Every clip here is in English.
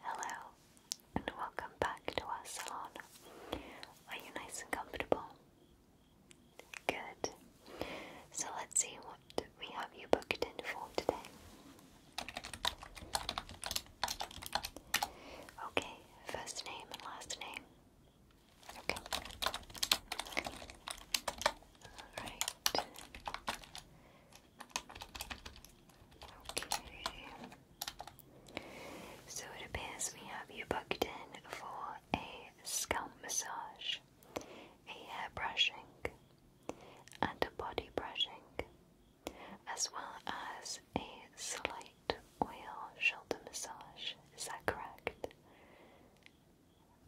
Hello, and welcome back to our salon. Are you nice and comfortable? Good. So let's see what we have you booked in for today. Okay, first name and last name. Okay. Alright. So it appears we have you booked in for a scalp massage, a hair brushing, and a body brushing, as well as a slight oil shoulder massage. Is that correct?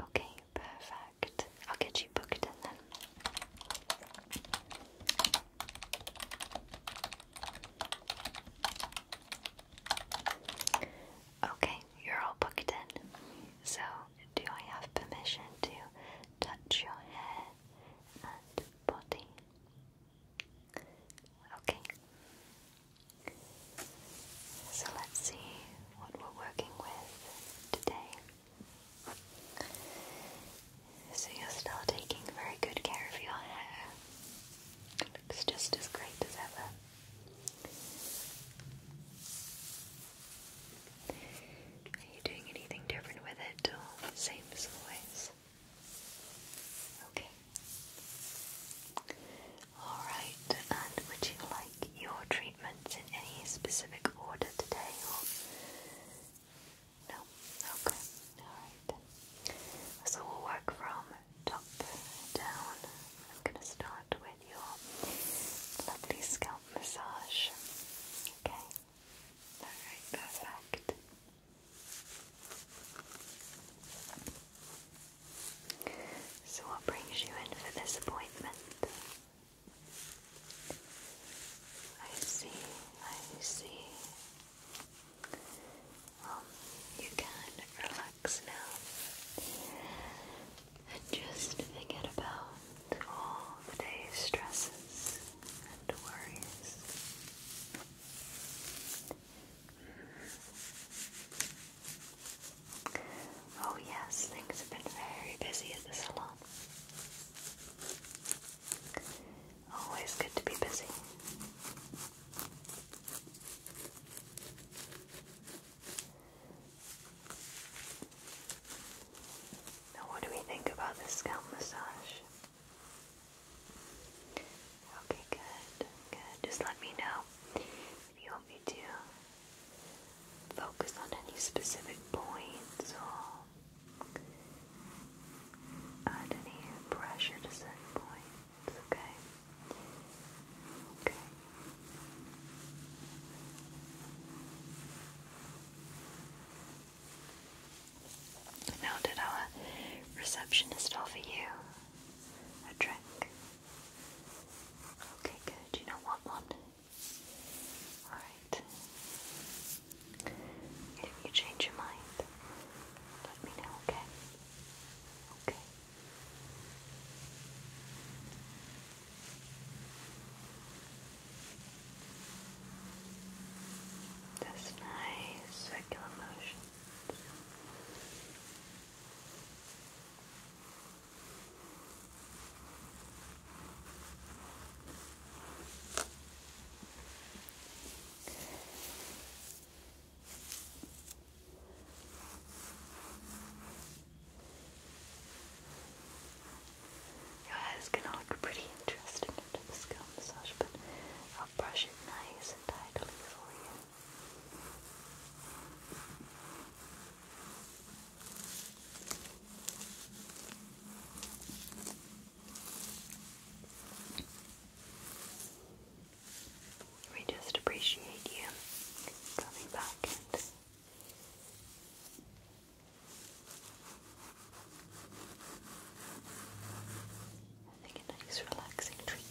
Okay, perfect. I'll get you booked and then. Okay, you're all booked in. So, do I have permission to touch your hair and body? Okay. So let's see what we're working with today. So you're still taking very good care of your hair. It looks just as great as ever. Are you doing anything different with it or the same always? Okay. Alright, and would you like your treatments in any specific order today no? Okay. Alright. So we'll work from top down. I'm going to start with your lovely scalp massage. Okay? Alright, perfect. So, what brings you in for this appointment? I see, I see. Um, you can relax now and just forget about all the day's stresses and worries. Mm-hmm. Oh, yes, things have been very busy at the salon. Always good to be busy. Now, what do we think about the scalp massage? Okay, good, good. Just let me know if you want me to focus on any specific points or add any pressure to certain points, okay? Okay. Now, did our receptionist offer you a drink? Okay, good. You know what one? Alright. if you change your mind, let me know, okay? Okay. This nice circular motion. Your hair is going to look pretty interesting under the scalp massage, but I'll brush it nice and tidily for you. We just appreciate you coming back and a nice relaxing treatment.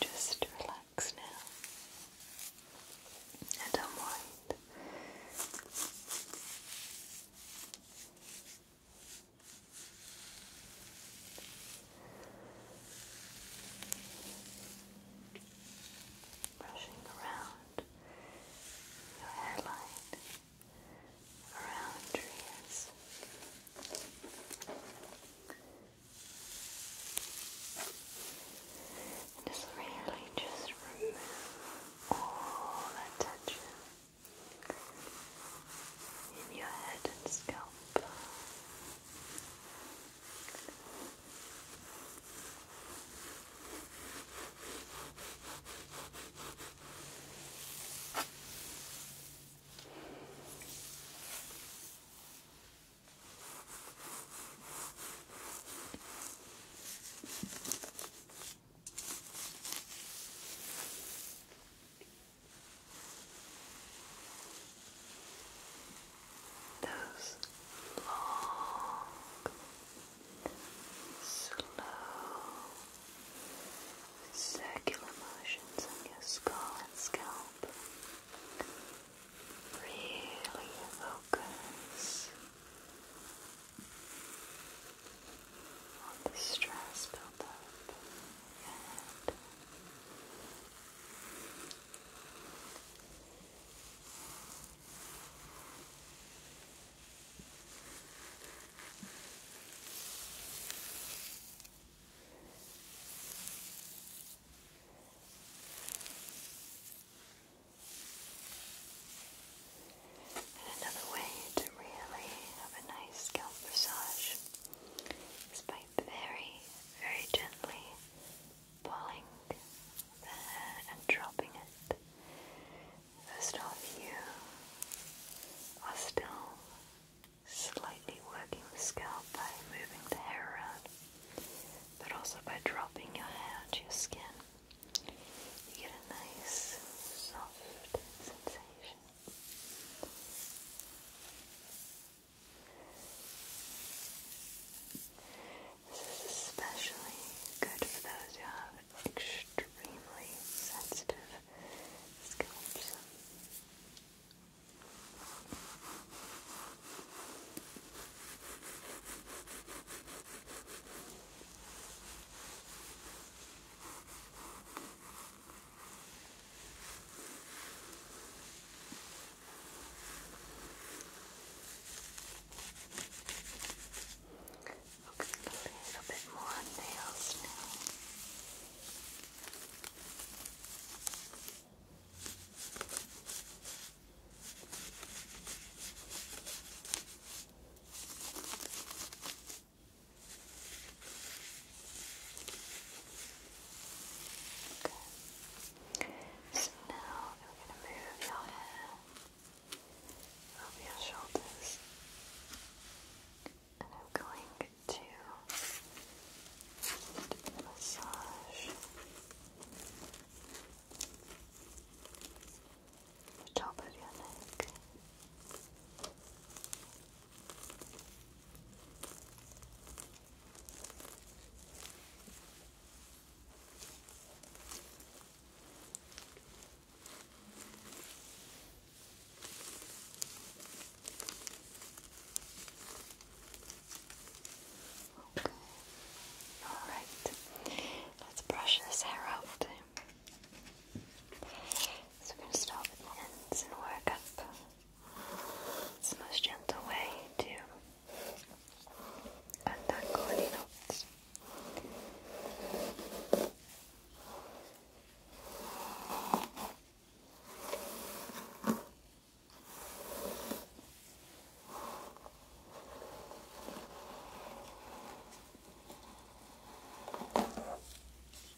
Just relax now and unwind. Brushing around your hairline, around trees. And just really just remove all that tension in your head and scalp. Those long, slow, circular motions on your skull and scalp really focus all the stress built up in your head. Relax. And another way to really have a nice scalp massage is by very, very gently pulling the hair and dropping it. First off, you are still slightly working the scalp by moving the hair around, but also by dropping your head, your skin. You get a nice, soft sensation. This is especially good for those who have extremely sensitive scalps. Okay, a little bit more on nails now. Okay. Okay. So now I'm gonna move your hair over your shoulders, and I'm going to massage the top of your neck. Okay. All right. Let's brush this hair out. So we're going to start and work up. It's the most gentle way to untangle any knots.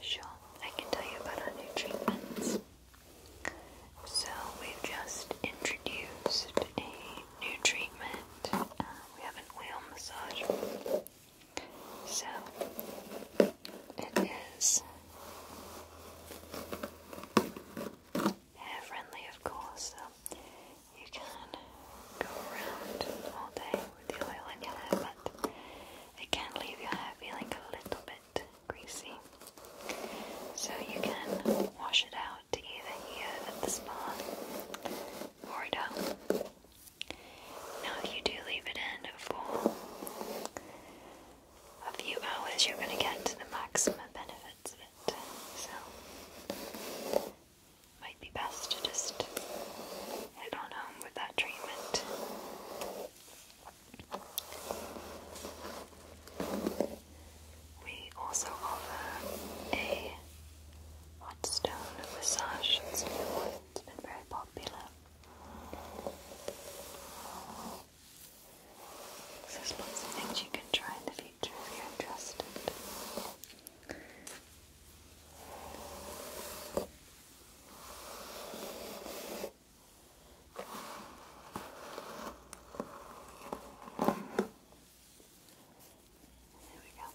Sure, I can tell you about our new treatments. So, we've just introduced a new treatment. Uh, we have an oil massage. So, it is hair friendly, of course. So, you can go around all day with the oil in your hair, but it can leave your hair feeling a little bit greasy. So you can wash it out either here at the spa or at home. Now, if you do leave it in for a few hours, you're going to get to the maximum benefits of it. So, might be best to just head on home with that treatment. We also offer a hot stone massage. It's been very popular. So there's lots of things you can try in the future if you're interested. There we go.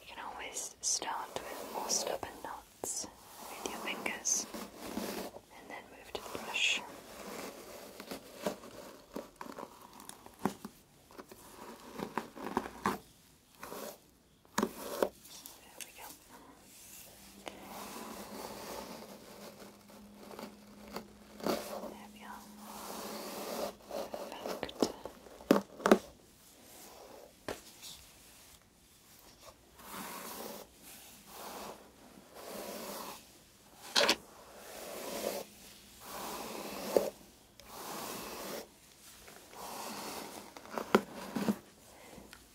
You can always start with more stubborn knots with your fingers and then move to the brush. There we go. There we are. Perfect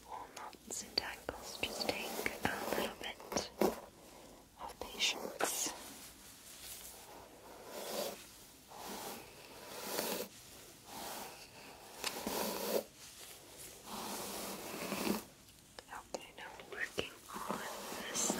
all knots and tangles just take a little bit of patience. Okay, now working on this side.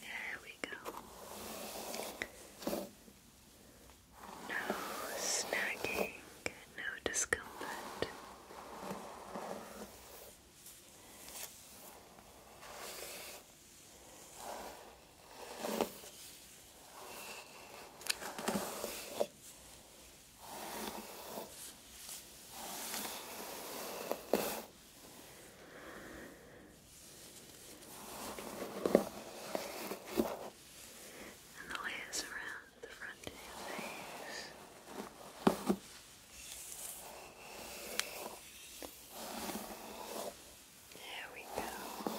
There we go. No snagging, no discomfort. And the layers around the front of your face. There we go.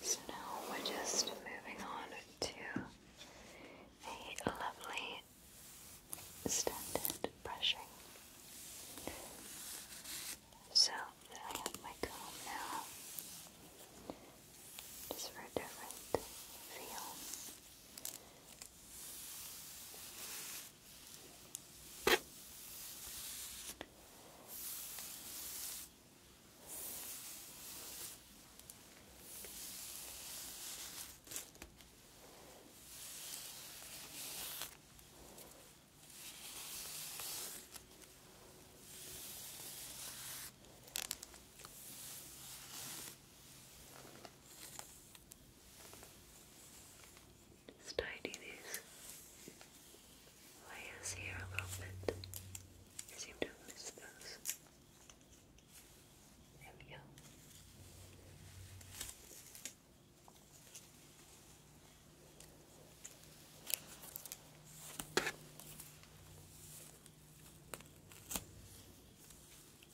So now we're just moving on to a lovely standard brushing. So I have my comb now just for a different feel. Let's tidy these layers here a little bit. I seem to have missed those. There we go.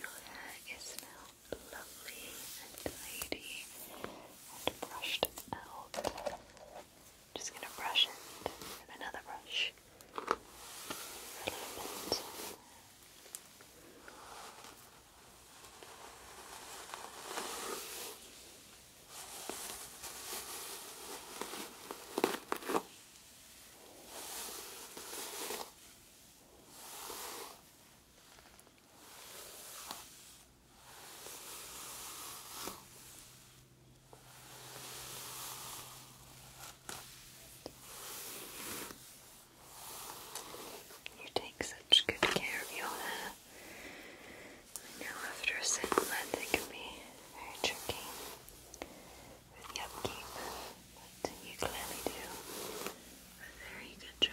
Your hair is now lovely and tidy and brushed out. just gonna brush it with another brush. You take such good care of your hair. I know after a set month it can be very tricky but you clearly do a very good job.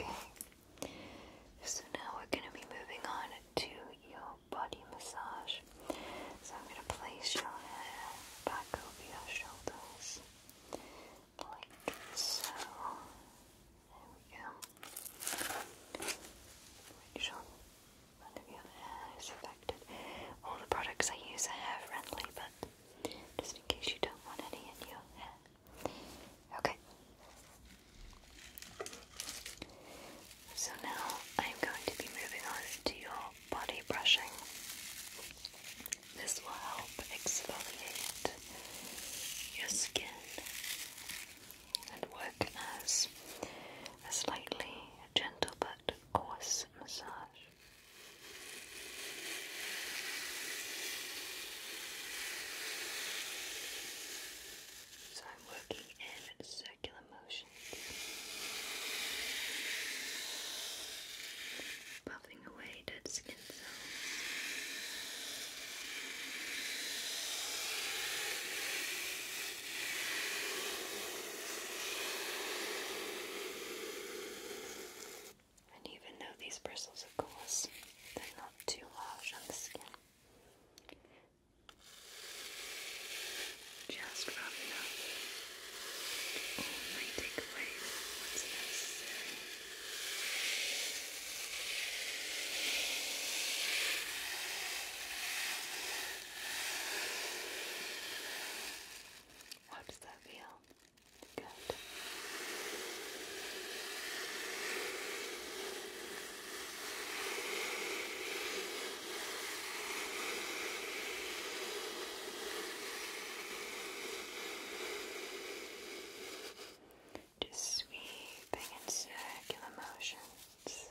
Okay, so now we're going to be moving on to your body massage. So I'm going to place your head back over your shoulders so. There we go. Which on front of your hair is affected. All the products I use are hair friendly, but just in case you don't want any in your hair. Okay. So now I'm going to be moving on to your body brushing. This will help exfoliate your skin and work as a slightly gentle but coarse massage. So I'm working in circular motions above melting away And even though these bristles, of course, they're not too large on the skin. Just rough enough only take away what's necessary. How does that feel? Good. Just sweeping in circular motions. Just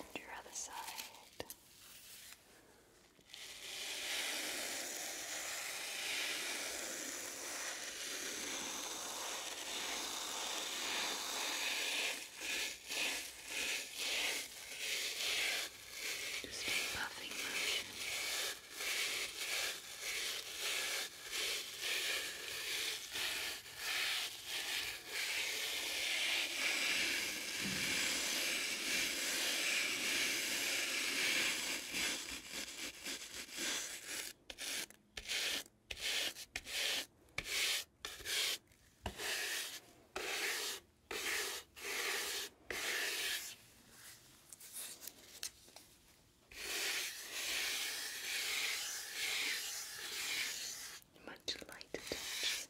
And your other side. Good. Just a buffing motion. Just much light touch.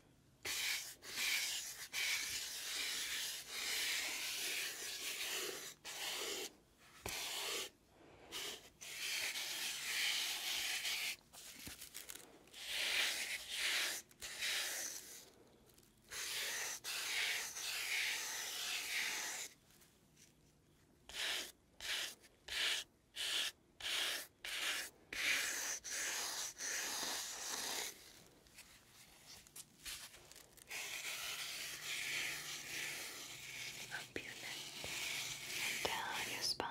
Up your neck and down your spine.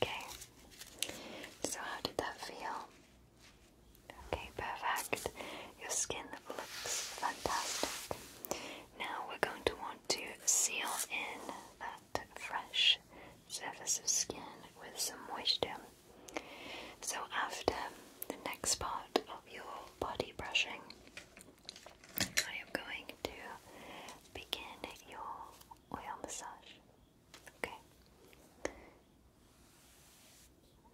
Okay. So how did that feel? Okay, perfect. Your skin looks fantastic. Now we're going to want to seal in that fresh surface of skin with some moisture. So after the next part of your body brushing. I am going to begin your oil massage. Okay.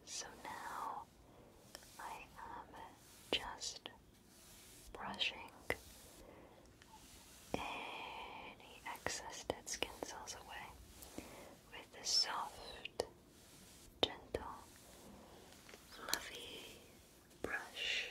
So now I am just brushing any excess dead skin cells away with the soft gentle, fluffy brush.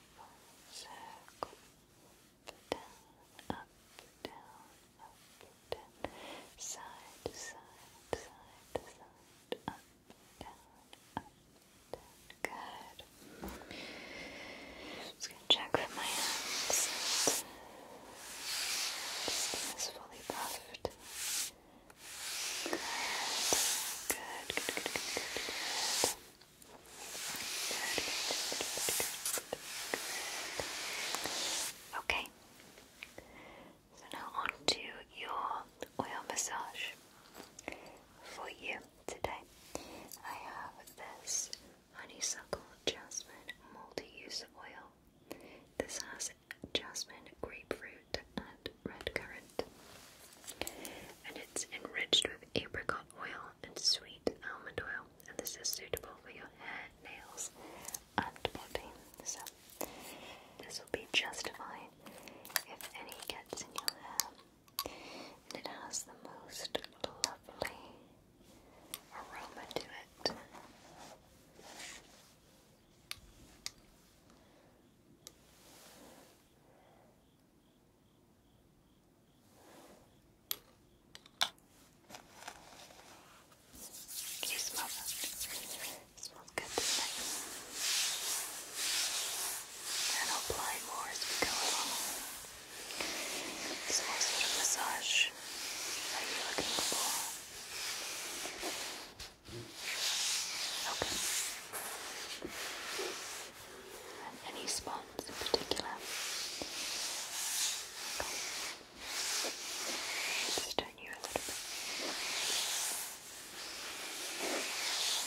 circle, up, down, up, down, up, down, side, side, side, side, up, down, up, down. Good. I'm check with my hands. This is fully buffed. good good, good, good, Okay, so now on your oil massage for you today. I have this honeysuckle jasmine multi-use oil. This has jasmine, grapefruit, and red currant and it's enriched with apricot oil and sweet almond oil. And this is suitable for your hair, nails, and body. So this will be just fine if any gets in your hair. And it has the most lovely aroma to it. Do you smells good, And I'll apply more as we go along. So what sort massage are you looking for? Okay and any spots in particular. Just turn you a little bit.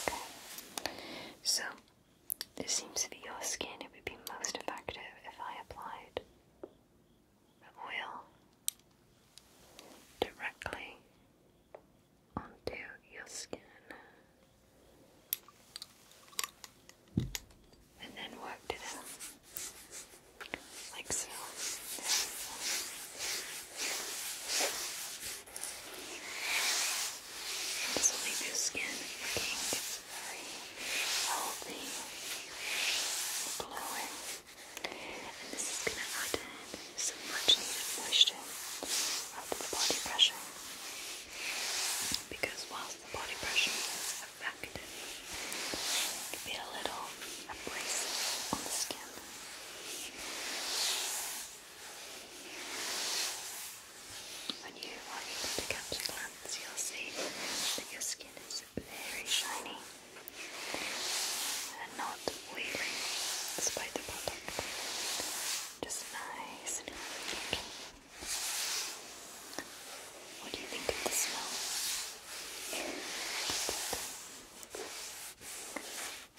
Okay. So it seems for your skin it would be most effective if I applied the oil directly onto your skin. And then worked it out. Like so. This will leave your skin looking very healthy, glowing. And this is going to some much needed moisture rather than body pressure. Because whilst the body pressure is it can be a little abrasive on the skin. When you are able to catch a you'll see that your skin is very shiny and not oily despite the product. Just nice What do you think of the smell?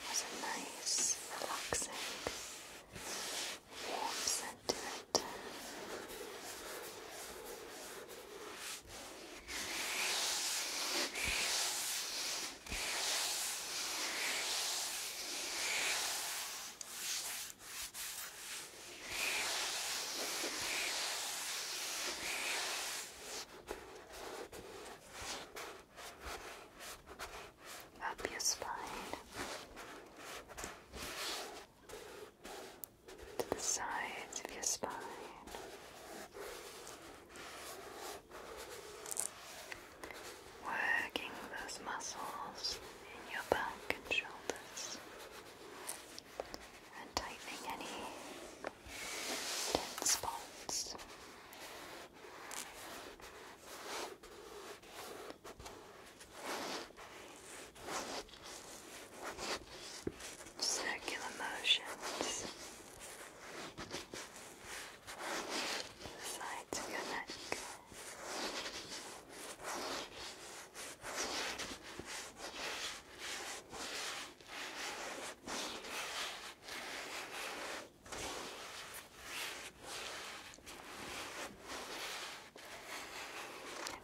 Has a nice, relaxing, warm scent to it. Up your spine to the sides of your spine. Working those muscles in your back and shoulders and tightening any tense spots. Circular motions. Side sides of your neck.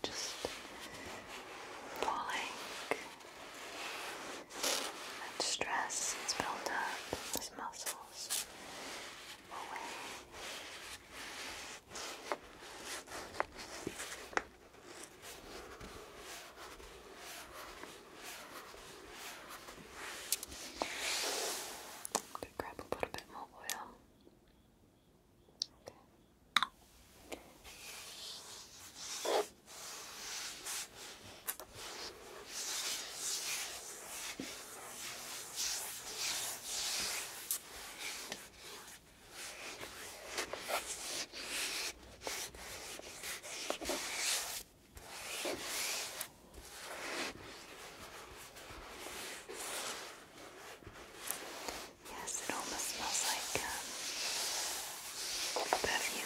just falling and stress is built up in those muscles away. to grab a little bit more oil. Okay. Yes, it almost smells like um, perfume.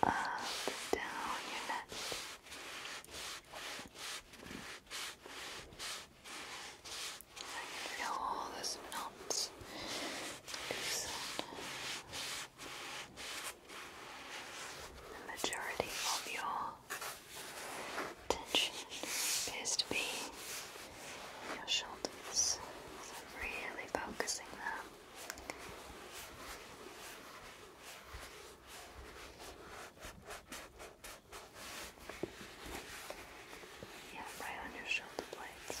Up and down your neck. feel all those knots loosen. The majority of your tension appears to be in your shoulders. really focusing that. Yeah, right on your shoulder blades.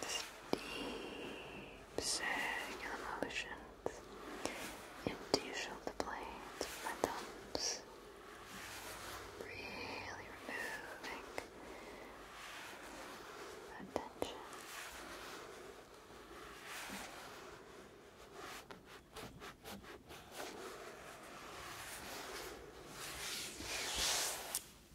This deep circular motions into your shoulder with my thumbs. Really removing that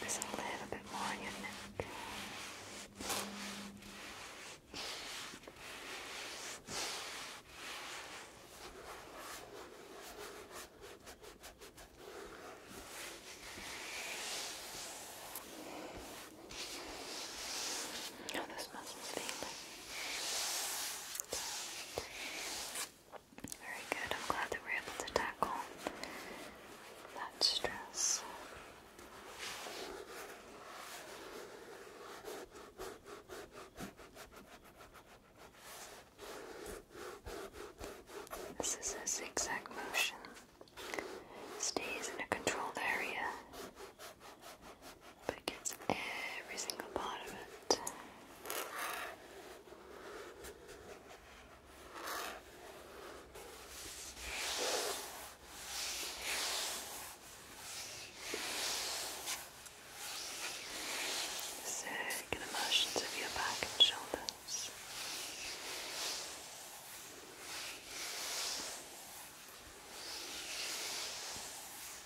Let's a little bit more on your neck. Oh, this muscle's feeling very good. I'm glad that we're able to tackle that stress. This is a zigzag motion. Stays in a controlled area but it gets every single part of it. Circular motions of your back and shoulders.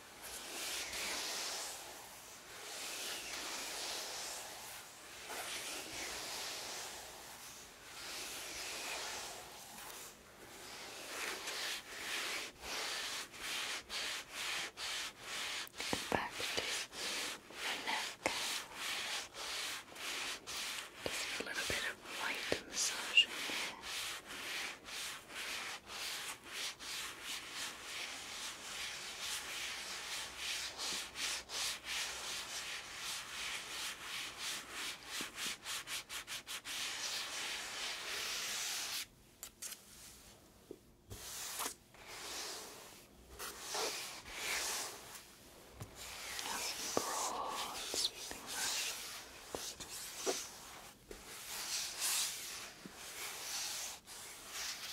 And back to the neck. Just a little bit of light massaging here. Yes, broad sweeping motion.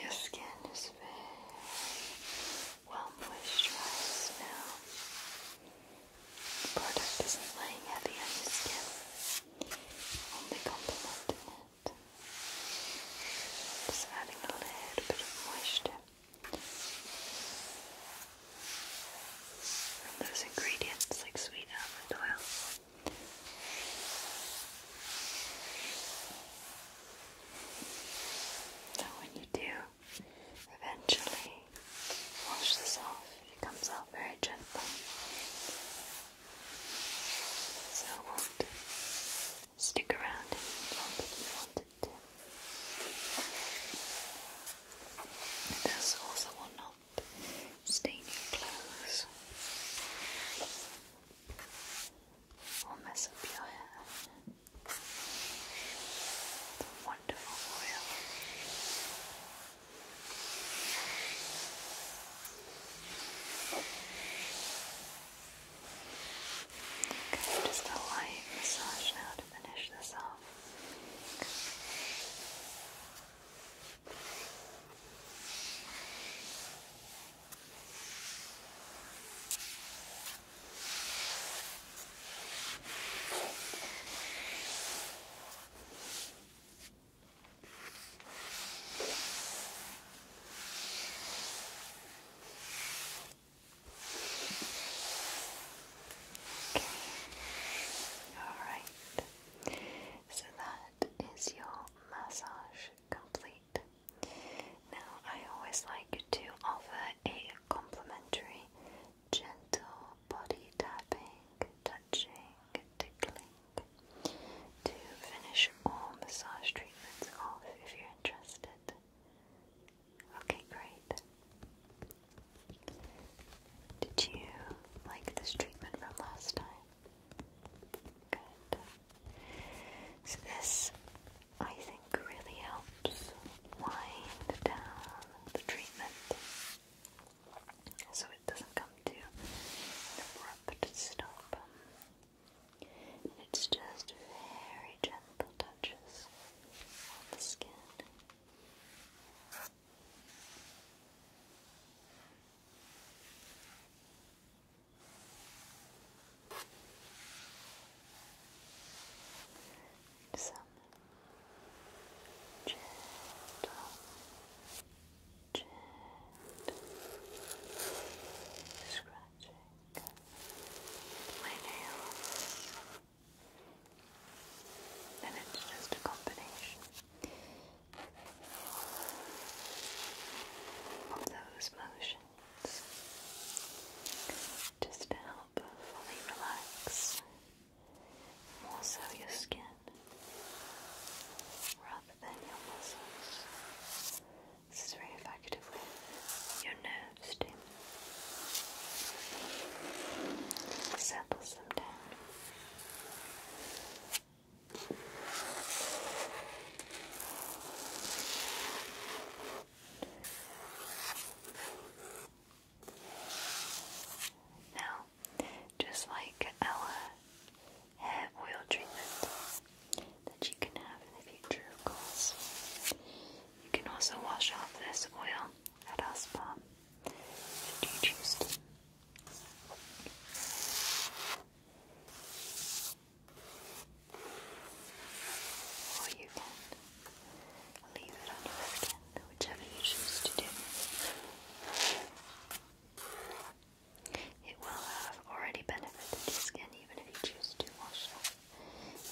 Your skin is very well moisturized now. product isn't laying heavy on your skin, only complementing it. Just adding a little bit of moisture. And those ingredients like sweet almond oil. And when you do eventually wash this off, it comes out very gently. So it won't stick around if you wanted to. There's also one up staining clothes. Or mess up your hair. It's a wonderful oil. Okay, just a light massage now to finish this off. Okay. Okay. Alright. So that is your massage complete. Now, I always like to offer a complimentary gentle body tapping, touching, tickling to finish all massage treatments off if you're interested. Okay, great. Did you like this treatment from last time? Good. So, this I think really helps wind down the treatment so it doesn't come to an abrupt stop it's just very gentle touches on the skin. some gentle, gentle scratching my nails. And it's just a combination of those motions just to help fully relax more so your skin rather than your muscles. This is very effective your nerves down. Now, just like Ella hair oil treatment that you can have in the future, of course. You can also wash off this oil at our spa if you choose to. Or you can leave it on your skin, whichever you choose to do. It will have already benefited your skin even if you choose to wash it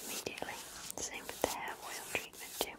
immediately. Same with the hair oil treatment too.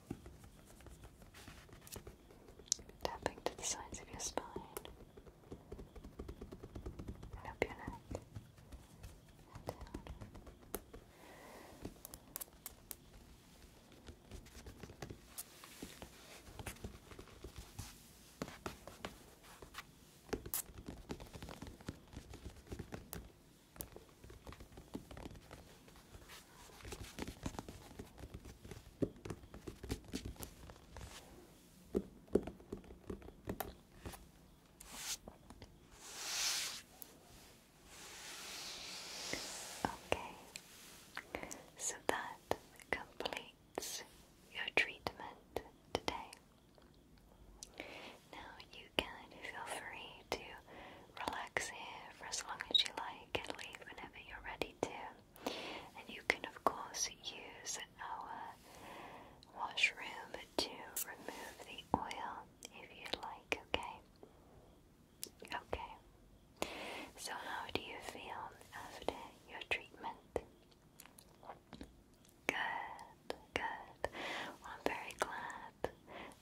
Tapping to the sides of your spine up your neck Okay, so that completes your treatment today. Now you can feel free to relax here for as long as you like and leave whenever you're ready to. And you can, of course, use our washroom to remove the oil if you'd like, okay? Okay. So, how do you feel after your treatment? Good, good. I'm very glad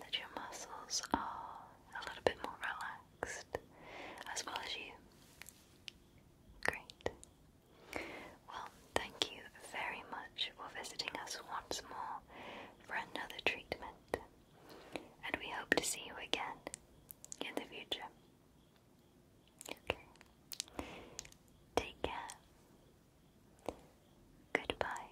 that your muscles are a little bit more relaxed, as well as you. Great. Well, thank you very much for visiting us once more for another treatment, and we hope to see you again in the future. Okay. Take care. Goodbye.